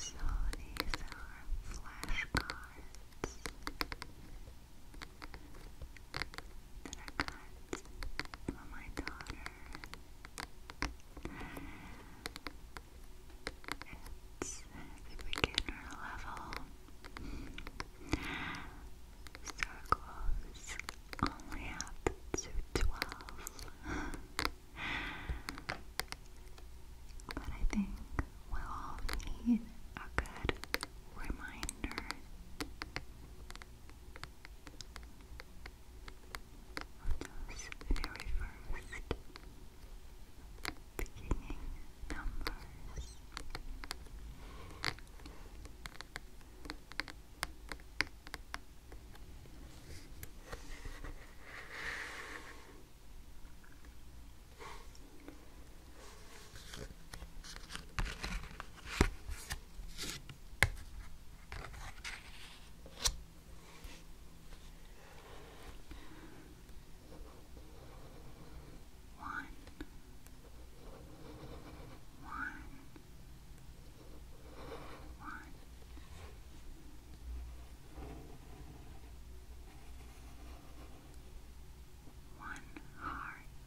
So these are flashcards that I got for my daughter. It's the beginner level. Circles only up to 12. but I think we all need a good reminder on those very first beginning numbers. One, one, one. One heart, one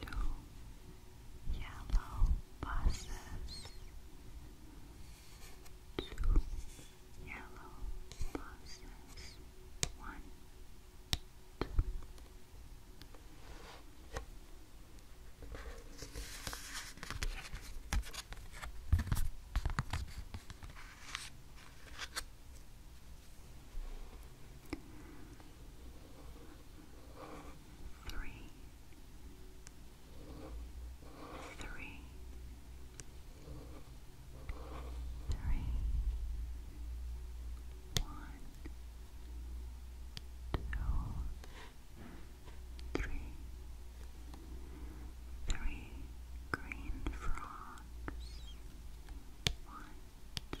two yellow buses, two yellow buses, one, two. Two three, three, three, one, two, three, three green frogs, one, two,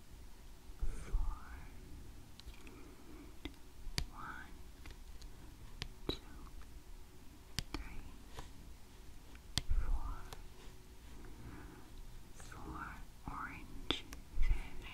four, one, two, three, four, four orange fish.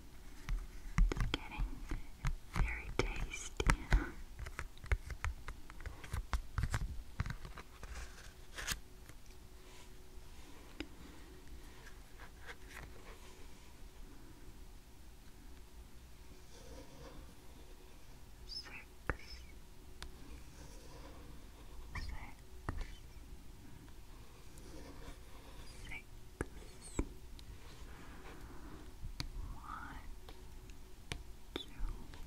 Getting very tasty. Six. Six. Seven six, one, two, three, four, five, six, six tasty donuts.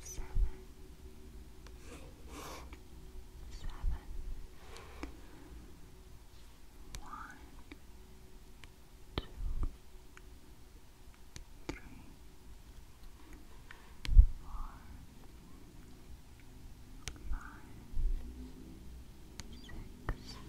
seven, seven, one, two, three, four, five, six,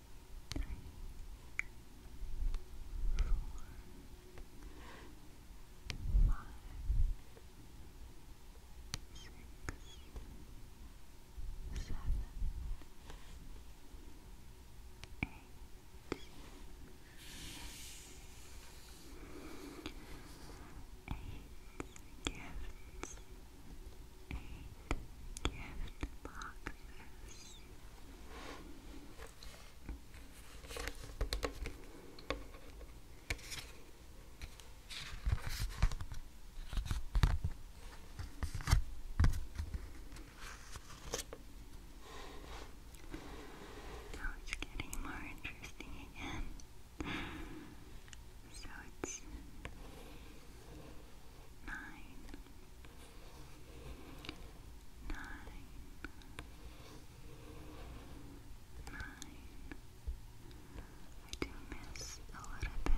three, four, five, six, seven, eight, eight gifts gift boxes. Now it's getting more interesting again. So it's nine, nine, nine. I do miss a little bit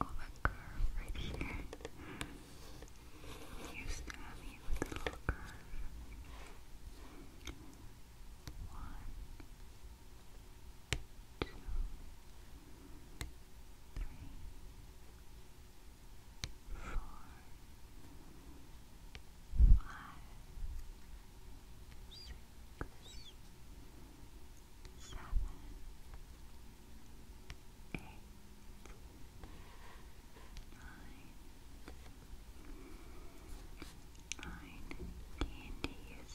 of a curve right here. used to having it a little curve. One, two, three, four, five, six, seven, eight, nine, nine candies.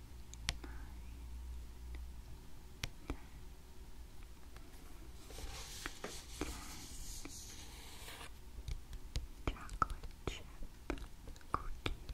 ten chocolate chip cookies.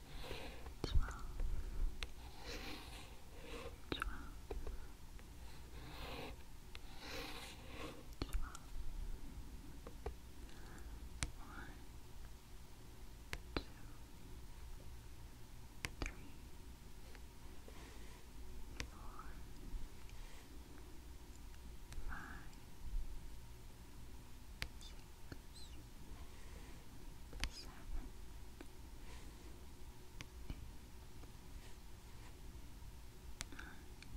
twelve, twelve, twelve, one, two, three, four, five, six seven, eight, nine, ten, eleven,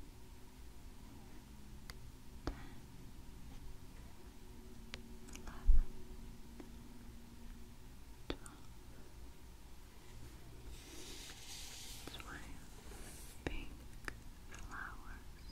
twelve, twelve pink Pink flowers.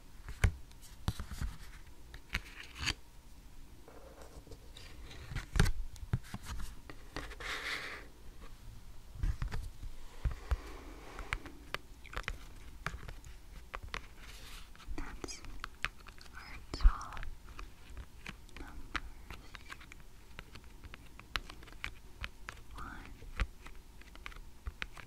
That's our top numbers. One,